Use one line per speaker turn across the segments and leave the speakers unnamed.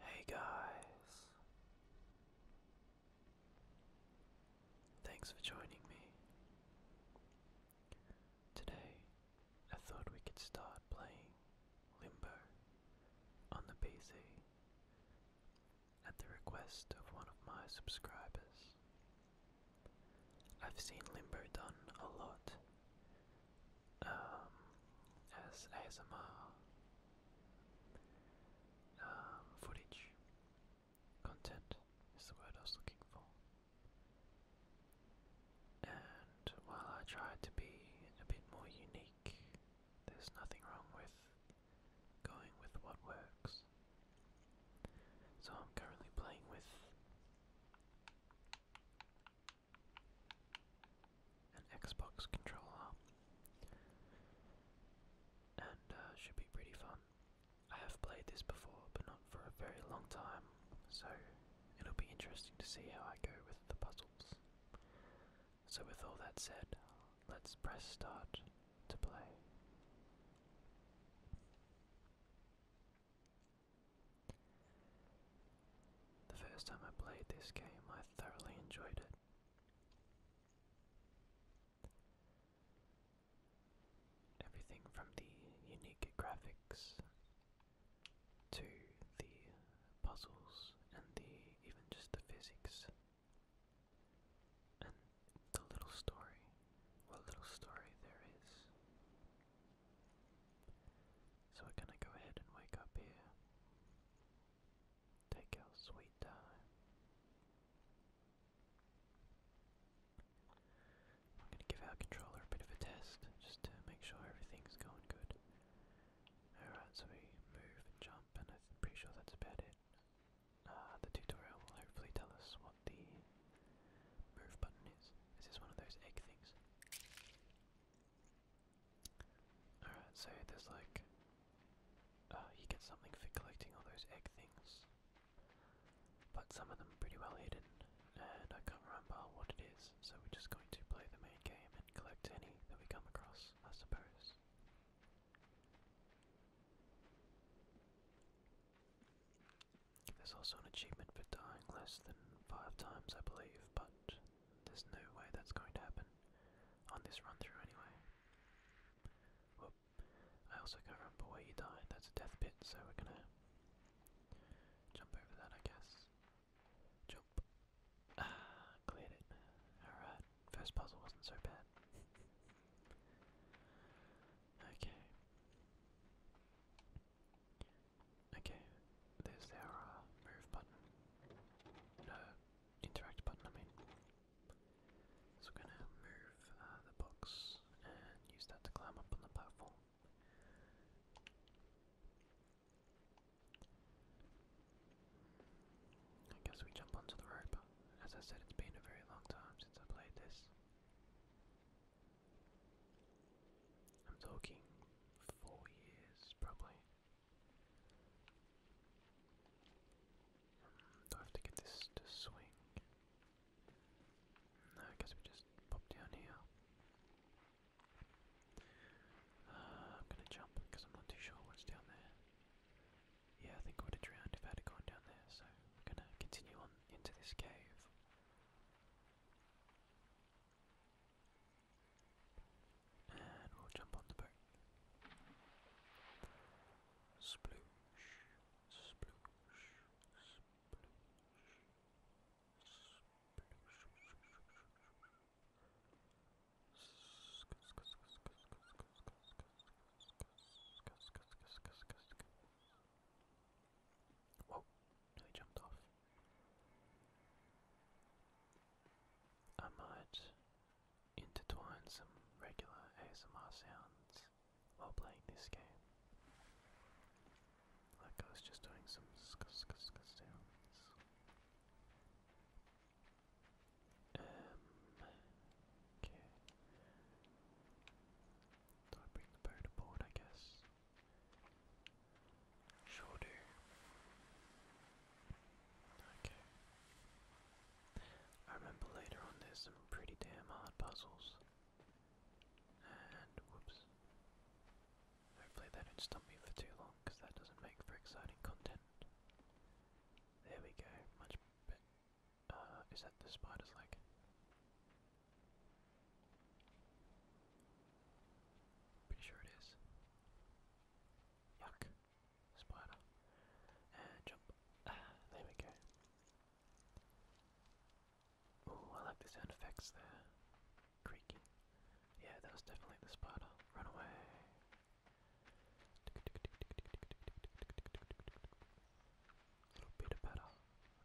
Hey guys, thanks for joining me. Today, I thought we could start playing Limbo on the PC at the request of one of my subscribers. I've seen Limbo done a lot um, as ASMR um, footage. Content is the word I was looking for. And while I try to be a bit more unique there's nothing wrong with going with what works. So I'm currently playing with an Xbox controller and uh, should be pretty fun. I have played this before, but not for a very long time, so it'll be interesting to see how I go with the puzzles. So, with all that said, let's press start to play. The first time I played this game, I thoroughly enjoyed it. Everything from the unique graphics to the puzzles and the even just the physics the little story, what little story there is. So we're gonna go ahead and wake up here. Take our sweet time. I'm gonna give our controller a bit of a test just to make sure everything's going good. Alright, so we move jump, and I'm pretty sure that's about it. Uh, the tutorial will hopefully tell us what the move button is. Is one of those egg things? Alright, so there's like. Uh, you get something for collecting all those egg things. But some of them are pretty well hidden, and I can't remember what it is, so we're just going to play the main game and collect any that we come across, I suppose. There's also an achievement for dying less than five times, I believe, but there's no way that's going to happen on this run through anyway. I also can't remember where you died. That's a death pit, so we're gonna jump over that, I guess. Jump. Ah, cleared it. Alright, first puzzle wasn't so bad. Okay. Okay, there's our uh, move button. No, interact button, I mean. So we're gonna move uh, the box and use that to climb up on the platform. I guess we jump onto the rope. As I said, it's been a very long time since I played this. I'm talking four years, probably. Um, do I have to get this to swing? No, I guess we just pop down here. Uh, I'm gonna jump because I'm not too sure what's down there. Yeah, I think I would have drowned if I had gone down there, so we're gonna continue on into this cave. And we'll jump on the boat. Whoa, nearly jumped off. I might intertwine some regular ASMR sounds while playing this game. Like I was just doing some sk sk sounds. Um, okay. Do I bring the powder board, I guess? Sure do. Okay. I remember later on there's some pretty damn hard puzzles. And whoops. Hopefully they don't stump me for too long because that doesn't make for exciting content. There we go, much better. Uh, is that the spider's leg? Pretty sure it is. Yuck. Spider. And jump. Ah, there we go. Oh, I like the sound effects there. Creaking. Yeah, that was definitely the spider. Run away. A little bit better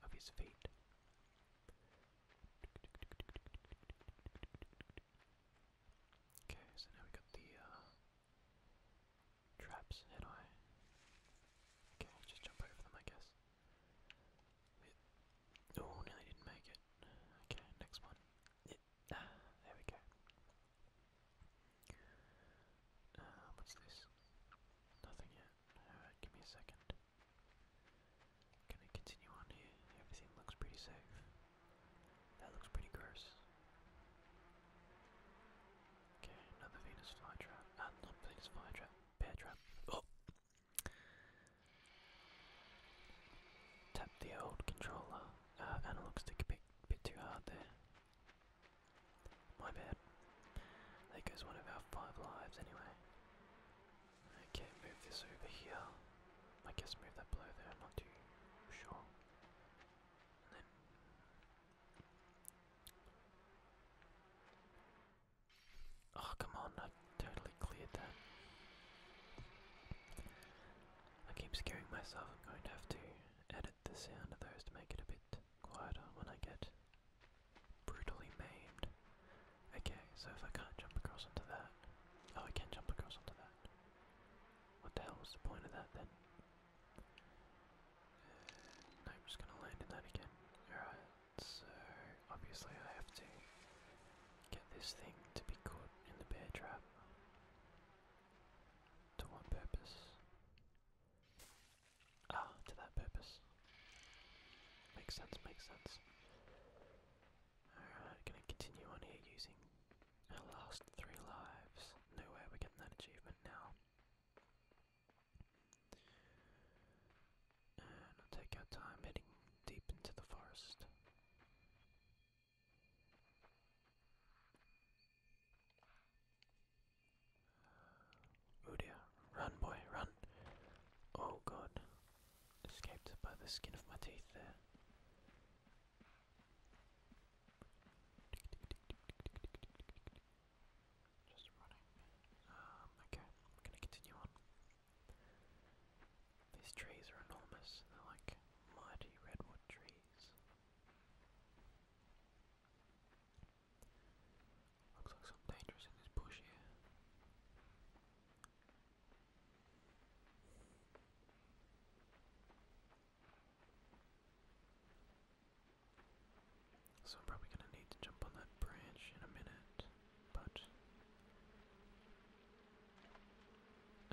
of his feet. Okay, so now we got the uh, traps, and I. Okay, I'll just jump over them, I guess. Oh, nearly didn't make it. Okay, next one. There we go. Uh, what's this? Nothing yet. Alright, give me a second. Can I continue on here? Everything looks pretty safe. That looks pretty gross. Okay, another Venus flytrap. Ah, not Venus flytrap. Bear trap. Oh! Tap the old controller. Uh, analog stick a bit, bit too hard there. My bad. There goes one of our five lives anyway. Okay, move this over here. I guess move that below there, I'm not too sure. And then Oh come on, I totally cleared that. I keep scaring myself I'm going to have to edit the sound of those to make it a bit quieter when I get brutally maimed. Okay, so if I can't jump across onto that, oh, I can not jump across onto that. What the hell was the point of that then? I'm uh, just gonna land in that again. Alright, so obviously I have to get this thing to be caught in the bear trap. To what purpose? Ah, to that purpose. Makes sense, makes sense. Alright, gonna continue on here using our last three lives. No way we're getting that achievement now. And I'll take our time heading deep into the forest. Oh run boy, run. Oh god, escaped by the skin of my teeth there. Just running. Um, okay, I'm gonna continue on. These trees are enormous, they're like mighty redwood trees. Looks like something dangerous in this bush here. So I'm probably going to need to jump on that branch in a minute, but...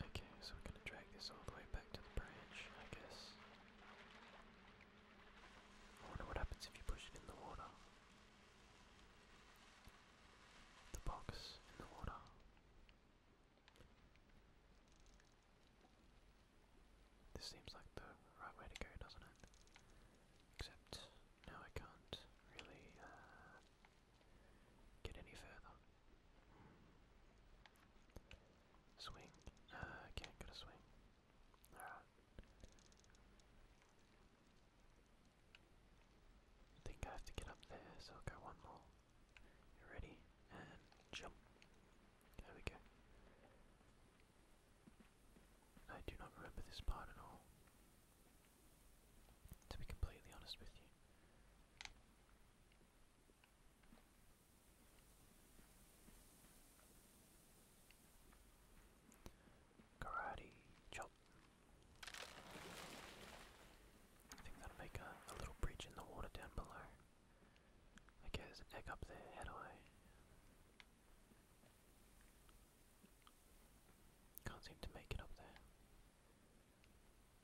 Okay, so we're going to drag this all the way back to the branch, I guess. I wonder what happens if you push it in the water. The box in the water. This seems like the right way to go, doesn't it? Except now I can't really uh, get any further. Swing. I can't get a swing. Alright. think I have to get up there, so I'll go one more. You ready? And jump. There we go. I do not remember this part at all. To be completely honest with you. Karate chop. I think that'll make a, little breach in the water down below. Okay, there's an egg up there, how do I? Can't seem to make it up there.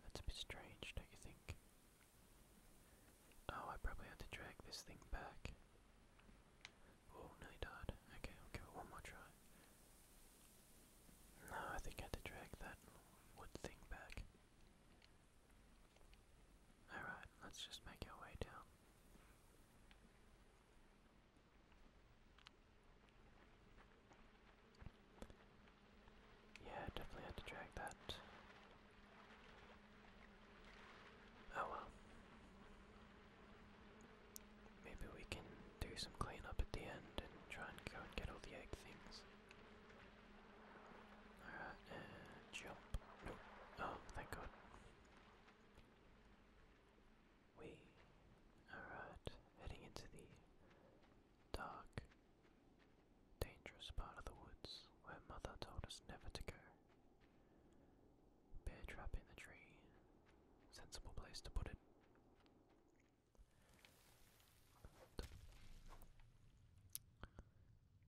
That's a bit strange, don't you think? Oh, I probably had to drag this thing back. Oh, no, died. Okay, i one more try. No, I think I had to drag that wood thing back. Alright, let's just make our way down. Yeah, definitely had to drag that Oh well. Maybe we can do some cleanup at the end and try and go and get all the egg things. Alright, uh, jump. Nope. Oh, thank god. We alright, uh, heading into the dark dangerous part of the woods where Mother told us never to go. Bear trap in the tree, sensible place to put it.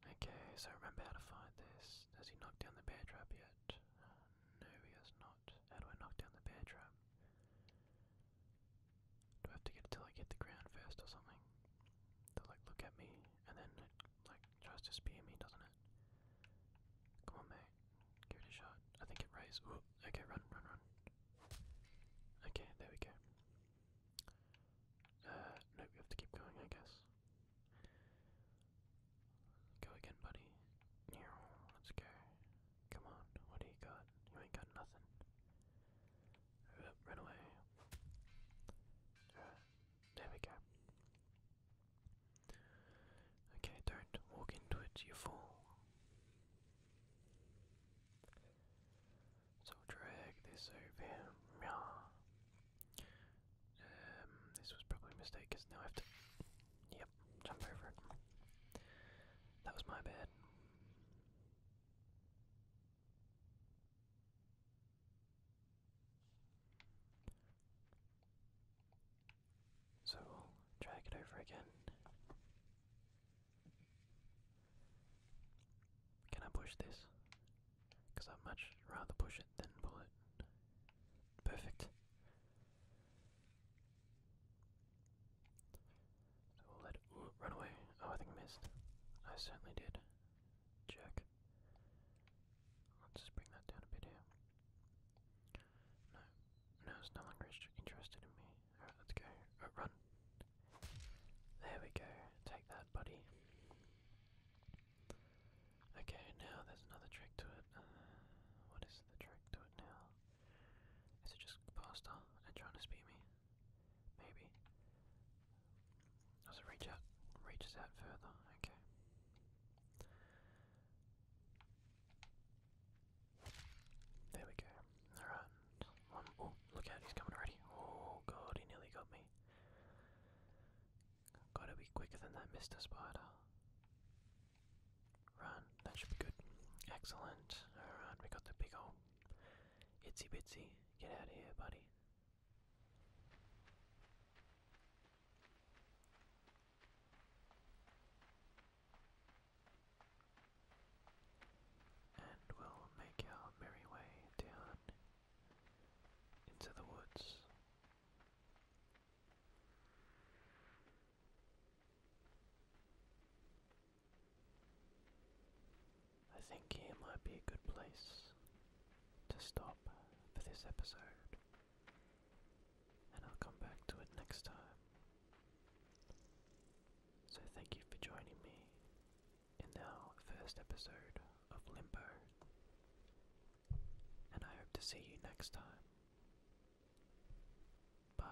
Okay, so remember to find this. Has he knocked down the bear trap yet? Uh, no, he has not. How do I knock down the bear trap? Do I have to get it I hit the ground first or something? To like look at me and then like tries to spear me, doesn't it? Come on, mate. Give it a shot. I think it raised. Ooh, okay, run, run, run. Okay, there we go. Uh, nope, we have to keep going, I guess. Go again, buddy. Let's go. Come on, what do you got? You ain't got nothing. Uh, run away. Uh, there we go. Okay, don't walk into it, you fall. So drag this over. Um, this was probably a mistake because now I have to. Yep, jump over it. That was my bad. So we'll drag it over again. Can I push this? Because i much rather push it than pull it. Perfect. So we'll let it run away. Oh, I think missed. I certainly did. Check. Let's just bring that down a bit here. No, no, it's no longer interested in me. Alright, let's go. Oh, run. There we go. Take that, buddy. Okay, now there's another trick to it. Uh, what is the trick to it now? Is it just faster and trying to speed me? Maybe. Does reach out? Reaches out further. Okay. There we go. All right. One. Um, oh, look out! He's coming already. Oh god, he nearly got me. Gotta be quicker than that, Mr. Spider. Run. That should be good. Excellent. All right, we got the big old itsy bitsy. Get out of here, buddy. And we'll make our merry way down into the woods. I think here might be a good place to stop for this episode, and I'll come back to it next time. So, thank you for joining me in our first episode of Limbo, and I hope to see you next time. Bye.